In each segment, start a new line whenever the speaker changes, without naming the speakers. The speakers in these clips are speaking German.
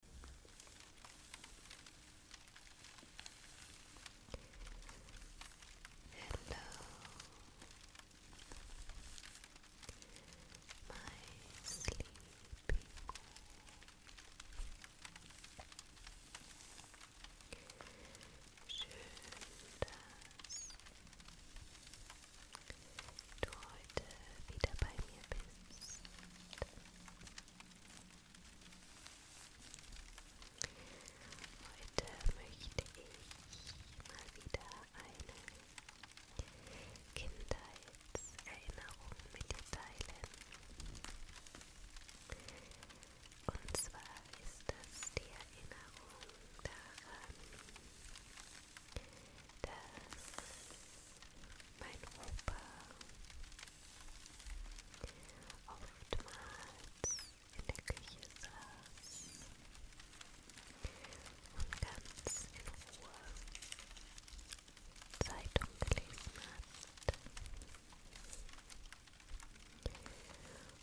Hello, my sleepy Schön, dass du heute wieder bei mir bist. Heute möchte ich mal wieder eine Kindheitserinnerung mit dir teilen. Und zwar ist das die Erinnerung daran, dass mein Opa. Oftmals in der Küche saß und ganz in Ruhe Zeitung gelesen hat.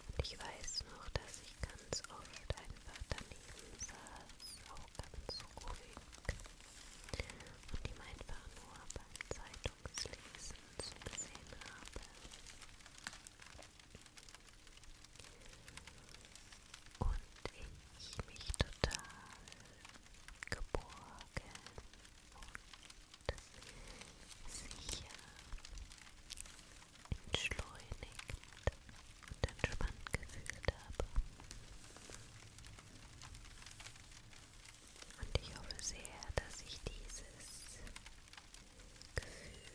Und ich weiß noch, dass ich ganz oft einfach daneben saß, auch ganz ruhig und ihm einfach nur beim Zeitungslesen zugesehen habe. Und ich mich total geborgen und sicher entschleunigt und entspannt gefühlt habe. Und ich hoffe sehr, dass ich dieses Gefühl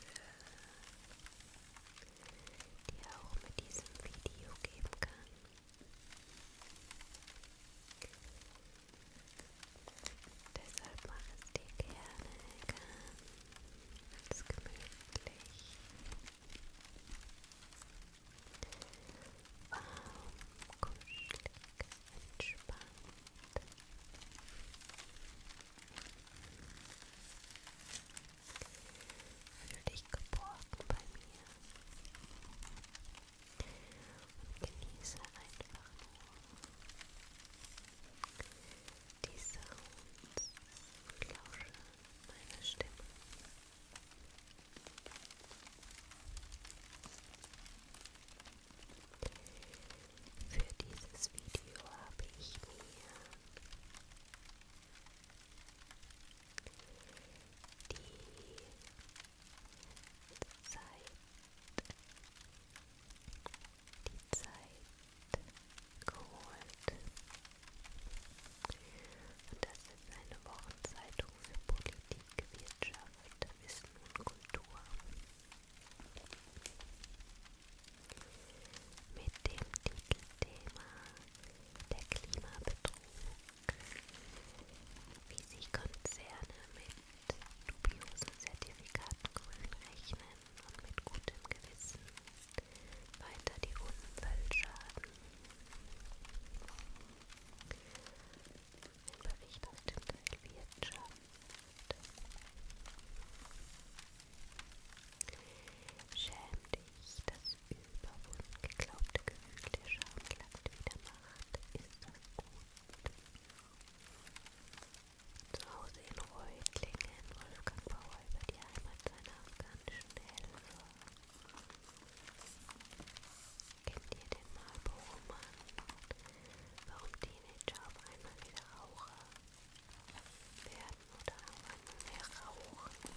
dir auch mit diesem Video geben kann. Deshalb mach es dir gerne ganz gemütlich warm, kuschelig, entspannt. Fühl dich geborgen bei mir und genieße einfach nur die Sounds und lausche meine Stimme. Für dieses Video habe ich mir die Zeit, die Zeit geholt. Und das ist eine Wochenzeitung für Politik, Wirtschaft, Wissen und Kultur. Mit dem Titelthema Der Klimabetrug, wie sich Konzerne mit dubiosen Zertifikaten grün rechnen und mit gutem Gewissen weiter die Umweltschaden ein Bericht aus dem Teil Wirtschaft. Schäm dich, das überwunden geglaubte Gefühl der Scham klappt wieder Macht. Ist das gut? Zu Hause in Reutlingen, Wolfgang Bauer über die Heimat seiner afghanischen Helfer. Kennt ihr den Marlboro-Mann? Warum Teenager auf einmal wieder Raucher werden oder auf einmal mehr rauchen?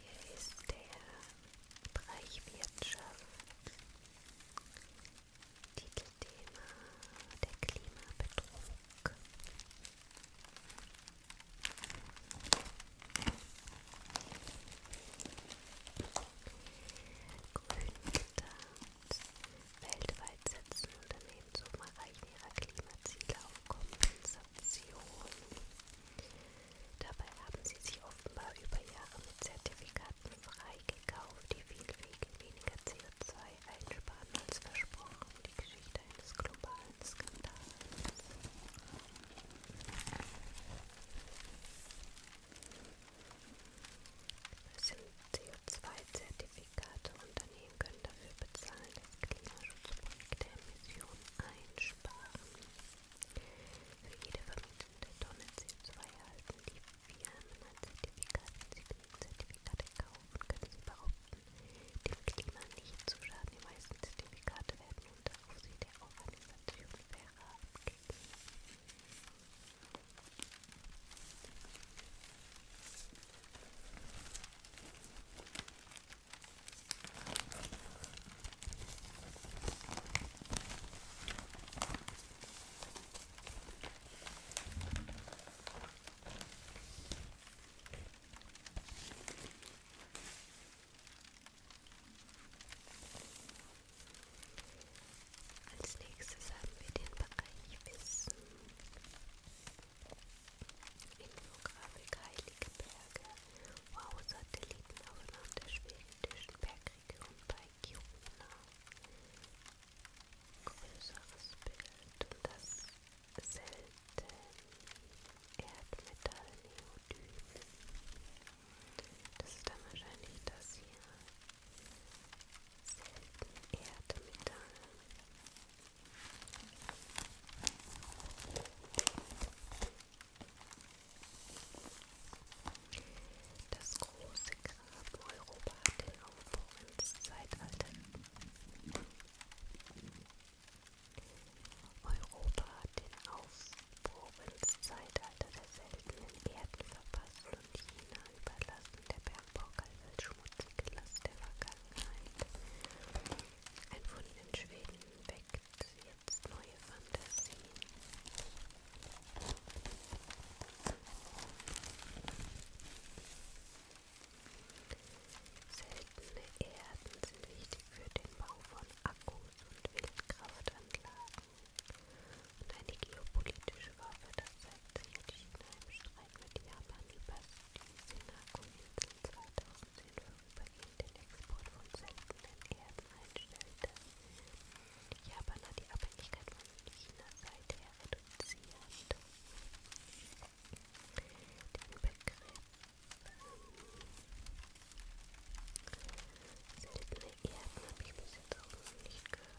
Hier ist der Bereich Wirtschaft. Titelthema der Klimabetrug. Grün getarnt. Weltweit setzen Unternehmen Demzug erreichen ihre Klimaziele auf Kompensation. Dabei haben sie sich offenbar über Jahre mit Zertifikaten freigekauft, die viel weniger CO2 einsparen als versprochen. Die Geschichte eines globalen Skandals. Es sind CO2-Zertifikate Zertifikate. Unternehmen können dafür bezahlen, dass Klimaschutzprojekte Emissionen einsparen. Für jede vermietete Tonne CO2 erhalten die Firmen ein Zertifikat. Wenn sie genügend Zertifikate kaufen, können sie behaupten, dem Klima nicht zu schaden. Die meisten Zertifikate werden unter Aufsicht der Organisation Verra abgegeben. Als nächstes haben wir den Bereich Wissen. Infografik Heilige Berge. Wow-Satelliten aufeinander der schwedischen Bergregion bei Kiruna. Größeres Bild und das selten Erdmetall Neodym. Das ist dann wahrscheinlich das hier. Selten Erdmetall. Das große Grab Europa hat den Aufbruch ins Zeitalter. Europa hat den Aufbruch ins Zeitalter der seltenen Erden verpasst und China überlassen der Bergbaukalverschmutzung. Atlas der Vergangenheit. Ein Fund in Schweden weckt jetzt neue Fantasien. Seltene Erden sind wichtig für den Bau von Akkus und Windkraftanlagen. Und eine geopolitische Waffe das sich entschieden, einem Streit mit Japan über die Senako-Inseln 2010 vorübergehend den Export von seltenen Erden einstellte. Japan hat die Abhängigkeit von China seither reduziert. Den Begriff Seltene Erden habe ich bis jetzt auch noch nicht gehört.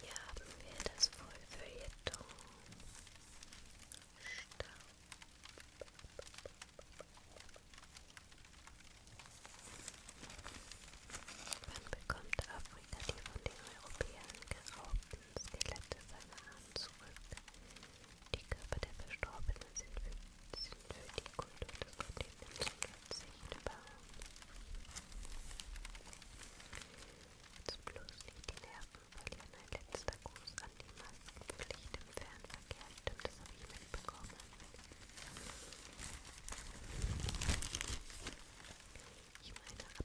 Hier haben wir das Vollfeuilleton. Staub. Wann bekommt Afrika, die von den Europäern geraubt den Skelette seiner Ahnen zurück. Die Körper der Verstorbenen sind für, sind für die Kultur des Kontinents unverzichtbar. Jetzt bloß nicht die Nerven verlieren. Ein letzter Gruß an die Maskenpflicht im Fernverkehr. Stimmt, das habe ich mitbekommen. Ich meine, ab, ab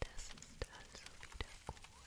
Das ist also wieder cool.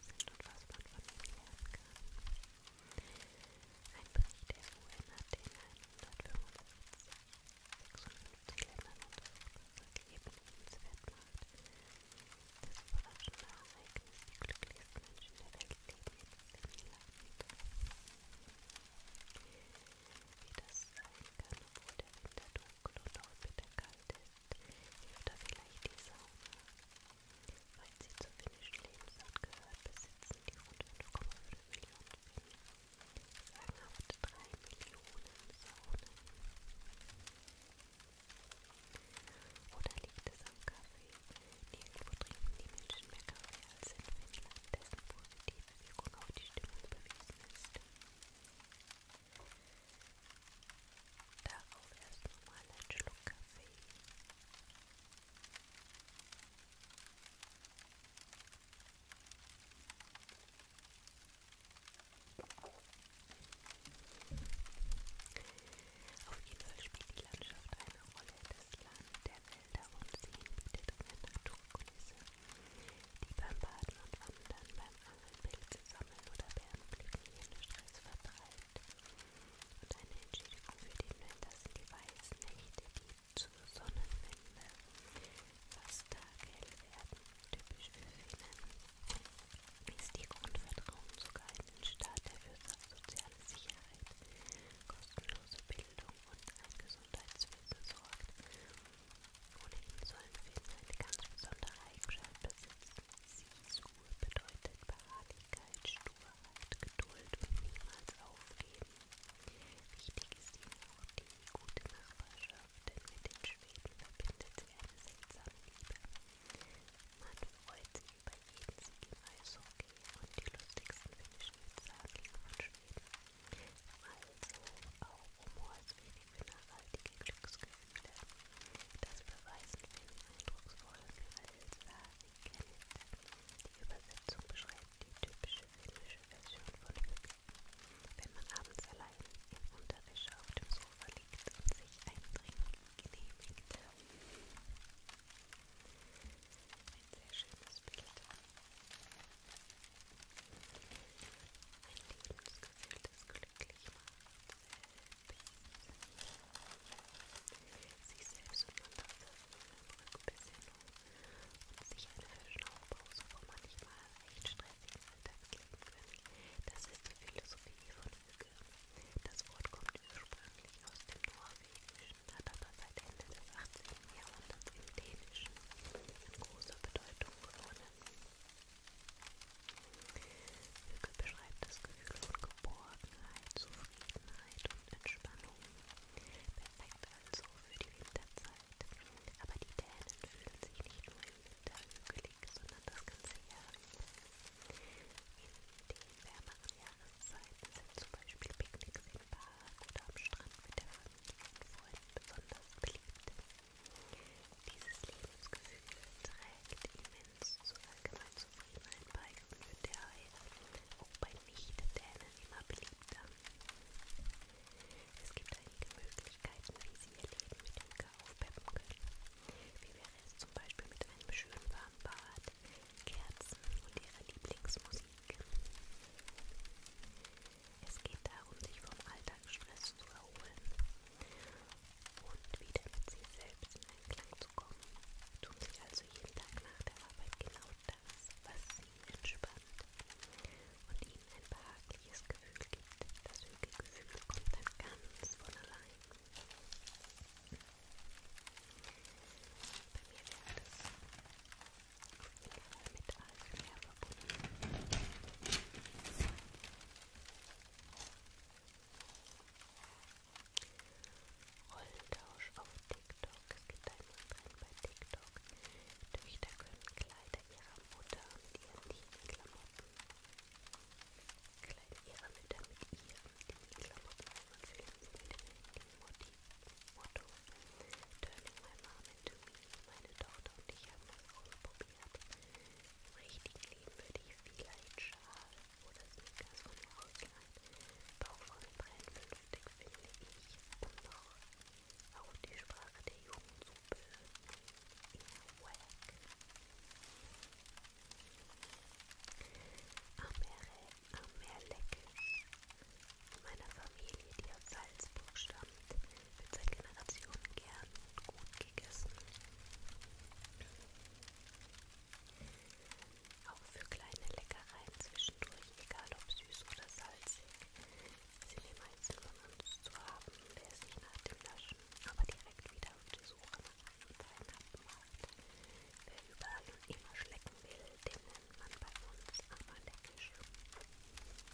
sind und was man von ihnen lernen kann. Ein Bericht der UN hat in 155 Ländern untersucht, was das Leben lebenswert macht. Das überraschende Ereignis, die glücklichsten Menschen der Welt leben in diesem Land. Wie das sein kann, obwohl der Winter Knoblauch bitter kalt ist, hilft da vielleicht die Sauna. Weil sie zur finnischen Lebensart gehört, besitzen die rund 5,5 Millionen Finnen sagenhaft 3 Millionen Saunen. Oder liegt es am Kaffee? Nirgendwo trinken die Menschen mehr Kaffee als in Finnland, dessen positive Wirkung auf die Stimmung bewiesen ist. Darauf erst nochmal einen Schluck Kaffee. Auf jeden Fall spielt die Landschaft eine Rolle. Das Land der Wälder und Seen bietet eine Naturkulisse, die beim Baden und Wandern, beim Pilze sammeln oder Bärenblüten ihren Stress vertreibt. Und eine Entschädigung für den Winter sind die weißen Nächte, die zur Sonnenwende fast taghell werden. Typisch für Finnen ist die Grundvertrauen sogar in den Staat, der für soziale Sicherheit, kostenlose Bildung und ein Gesundheitswesen sorgt. Ohnehin sollen Finnen eine ganz besondere Eigenschaft besitzen. Sisur bedeutet Beharrlichkeit, Sturheit, Geduld und niemals aufgeben. Wichtig ist ihnen auch die gute Nachbarschaft, denn mit den Schweden verbindet sie eine seltsame Liebe. Man freut sich über jeden Sieg im Eishockey und die lustigsten finnischen Witze handeln von Schweden. Also auch Humor ist für nachhaltige Glücksgefühle. Das beweisen Film eindrucksvoll mittels Kenntnisse. Die Übersetzung beschreibt die typische finnische Version von Hübsch. Wenn man abends allein in Unterwäsche auf dem Sofa liegt und sich ein Trinken genehmigt. Ein sehr schönes Bild. Ein Lebensgefühl gefühltes glücklich macht. Sich selbst und man das Rückbesinnung und sich eine Verschnaufpause vor manchmal echt stressigen Alltagsleben gönnen. Das ist die Philosophie von Hüge. Das Wort kommt ursprünglich aus dem Norwegischen, hat aber seit Ende des 18. Jahrhunderts im Dänischen an großer Bedeutung gewonnen. Hügel beschreibt das Gefühl von Geborgenheit, Zufriedenheit und Entspannung. Perfekt also für die Winterzeit. Aber die Dänen fühlen sich nicht nur im Winter hügelig, sondern das ganze Jahr über. In den wärmeren Jahreszeiten sind zum Beispiel Picknicks im Park oder am Strand mit der Familie und Freunden besonders beliebt. Dieses Lebensgefühl trägt immens zur allgemeinen Zufriedenheit bei und wird daher auch bei Nicht-Dänen immer beliebter. Es gibt einige Möglichkeiten, wie Sie Ihr Leben mit Yoga aufpeppen können. Wie wäre es zum Beispiel mit einem schönen warmen Bad, Kerzen und Ihrer Lieblingsmusik? Es geht darum, sich vom Alltagsstress zu erholen und wieder mit sich selbst in Einklang zu kommen. Tun Sie also jeden Tag nach der Arbeit genau das, was Sie entspannt und Ihnen ein behagliches Gefühl gibt. Das Hügelgefühl kommt dann ganz von allein. Bei mir wäre das auf jeden Fall mit ASMR verbunden. Rolltausch auf TikTok. Es gibt einen Trend bei TikTok. Töchter können Kleider ihrer Mutter mit ihren lieben Klamotten. Kleider ihrer Mütter mit ihren lieben Klamotten einführen. Motto: Turning my mom into me. Meine Tochter und ich haben das große Problem gesperrt. Im richtigen Leben würde ich vielleicht Schal oder Sneakers von mir ausleihen. Bauchfreunde brennt vernünftig, finde ich, um noch auf die Sprache der Jugend zu bösen. Eher wack. Amere, Amerleck. Meiner Familie, die aus Salzburg stammt. Heiligabend wird seit Generationen gern und gut gegessen. Auch für kleine Leckereien zwischendurch, egal ob süß oder salzig, sind die meisten von uns zu haben, wer sich nach dem Naschen aber direkt wieder auf die Suche nach einem Weihnachten macht. Wer überall und immer schlecken will, den nennt man bei uns Amalekische.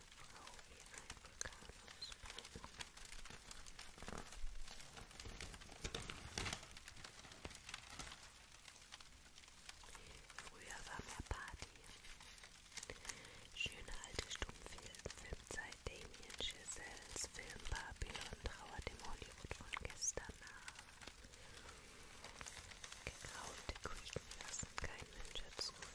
Frau wie ein Vulkan ausbreiten. Früher war mehr Party. Schöne alte Stummfilmzeit Damien Chazelles Film Babylon trauert dem Hollywood von gestern nach. Gegraulte Küchen lassen kein Mensch dazu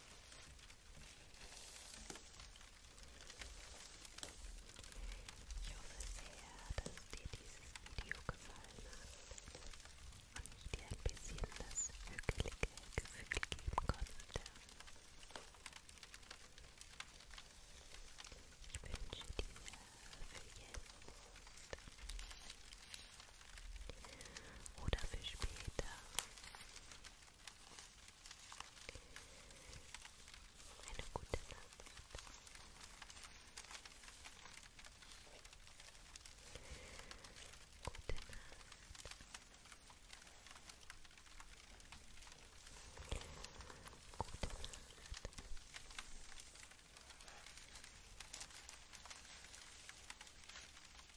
Ich hoffe sehr, dass dir dieses Video gefallen und ich dir ein bisschen das hügelige Gefühl geben konnte. Ich wünsche dir für jetzt oder für später. Eine gute Nacht. Gute Nacht. Gute Nacht.